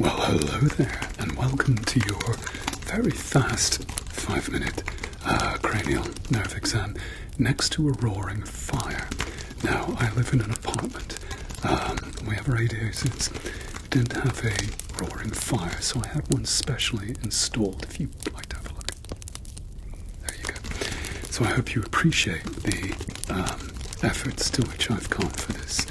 Well, hello there, and welcome to your very fast five minute uh, cranial nerve exam next to a roaring fire. Now, I live in an apartment, um, we have radiators. We didn't have a roaring fire, so I had one specially installed. If you'd like to have a look, there you go. So, I hope you appreciate the um, efforts to which I've gone for this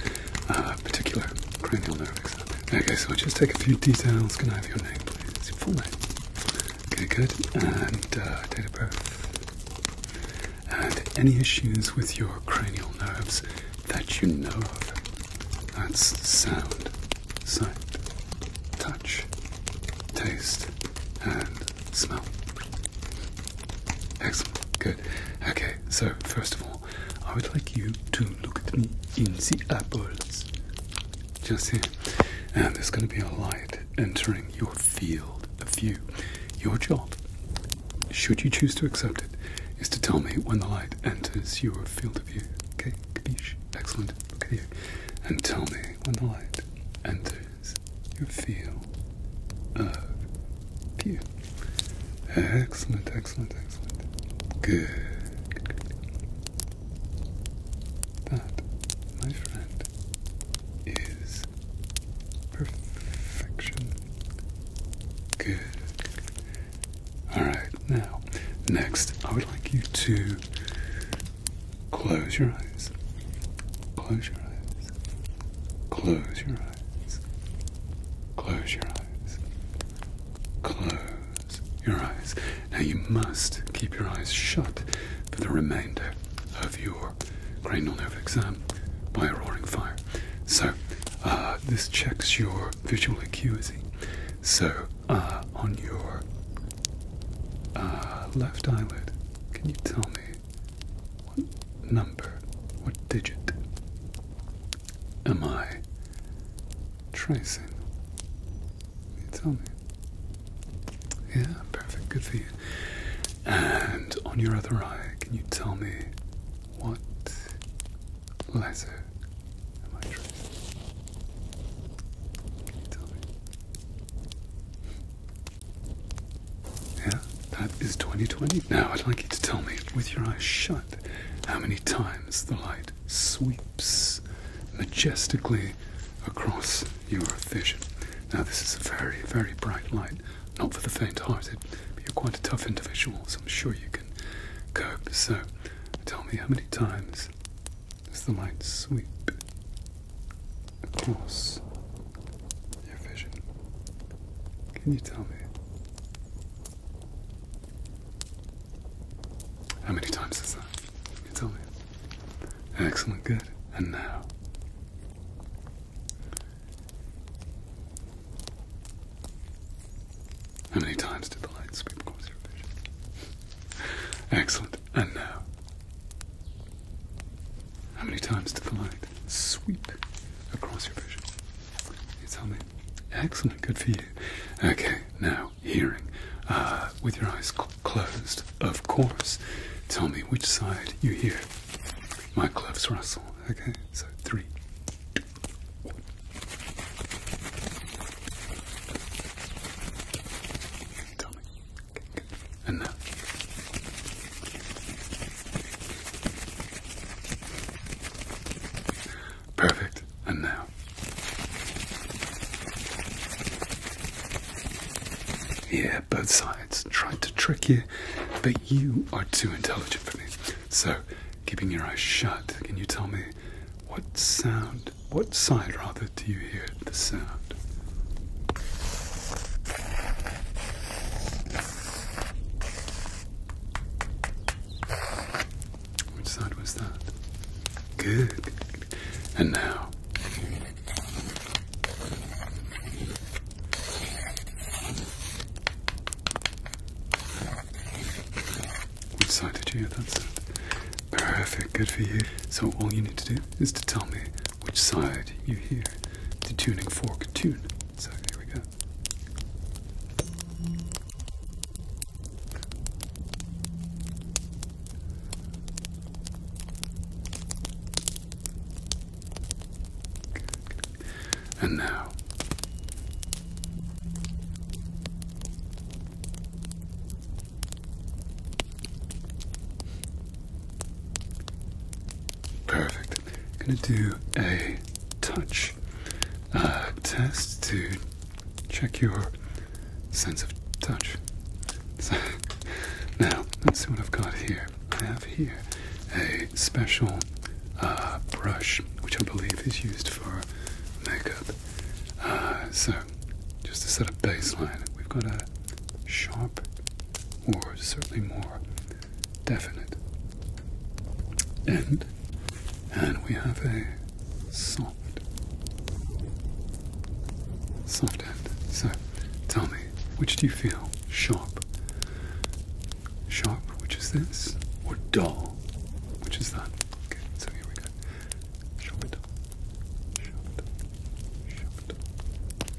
uh, particular cranial nerve exam. Okay, so i just take a few details. Can I have your name, please? full name. Okay, good. And uh, date of birth. And any issues with your cranial nerves that you know of? That's sound, sight, touch, taste, and smell. Excellent, good. Okay, so first of all, I would like you to look at me in the eyeballs. Just here. And there's going to be a light entering your field of view. Your job, should you choose to accept it, is to tell me when the light enters your field of view. Okay, Capiche? Excellent. Look at And tell me when the light enters is your feel of you. Excellent, excellent, excellent. Good. good. That, my friend, is perfection. Good. Alright, now, next, I would like you to Close your eyes. Close your eyes. Close your eyes. Close your eyes. Close your eyes. Now you must keep your eyes shut for the remainder of your cranial nerve exam by a roaring fire. So, uh, this checks your visual acuity. So, uh, on your uh, left eyelid. Can you tell me what number, what digit am I tracing? Can you tell me? Yeah, perfect. Good for you. And on your other eye, can you tell me what letter am I tracing? Yeah, that is 2020. Now I'd like you to tell me, with your eyes shut, how many times the light sweeps majestically across your vision. Now, this is a very, very bright light, not for the faint hearted, but you're quite a tough individual, so I'm sure you can cope. So, tell me how many times does the light sweep across your vision. Can you tell me how many times is that? Can you tell me? Excellent, good. And now. How many times did the light sweep across your vision? Excellent. And now, how many times did the light sweep across your vision? tell me. Excellent. Good for you. Okay. Now, hearing. Uh, with your eyes closed, of course. Tell me which side you hear. My gloves rustle. Okay. So three, and now. Perfect. And now. Yeah, both sides tried to trick you, but you are too intelligent for me. So keeping your eyes shut, can you tell me what sound, what side rather, do you hear the sound? Which side was that? Good. And now. Which side did you hear that Perfect, good for you. So all you need to do is to tell me which side you hear the tuning fork tune. So here we go. And now, perfect. I'm gonna do a touch uh, test to check your sense of touch. So, now, let's see what I've got here. I have here a special uh, brush, which I believe is used for makeup. Uh, so, just to set a baseline, we've got a sharp, or certainly more definite end, and we have a soft, soft end. So, tell me. Which do you feel? Sharp. Sharp, which is this, or dull, which is that. Okay, so here we go. Sharp dull. Sharp dull. Sharp dull.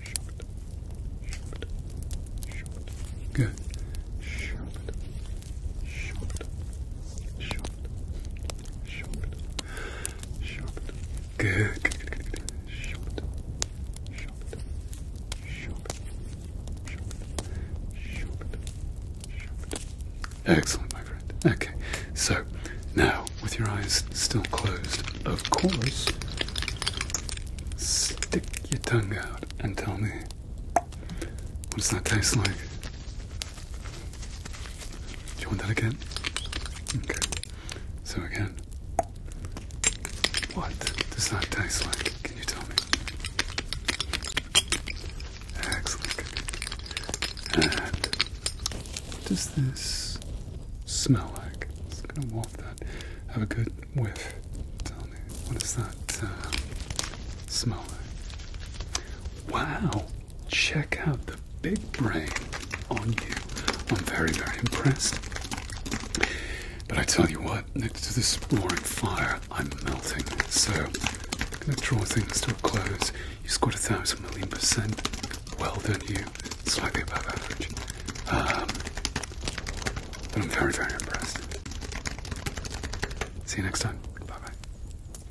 Sharp dull. Sharp dull. Good. Sharp dull. Sharp dull. Sharp dull. Sharp. Good. Good. Excellent, my friend. Okay. So now, with your eyes still closed, of course, stick your tongue out and tell me what does that taste like? Do you want that again? Okay. So again, what does that taste like? Can you tell me? Excellent. And what does this smell like? It's gonna waft that. Have a good whiff. Tell me, what does that uh, smell like? Wow check out the big brain on you. I'm very, very impressed. But I tell you what, next to this roaring fire, I'm melting. So I'm going to draw things to a close. You scored a thousand million percent. Well done, you. Slightly above average. Um, but I'm very, very impressed. See you next time. Bye bye.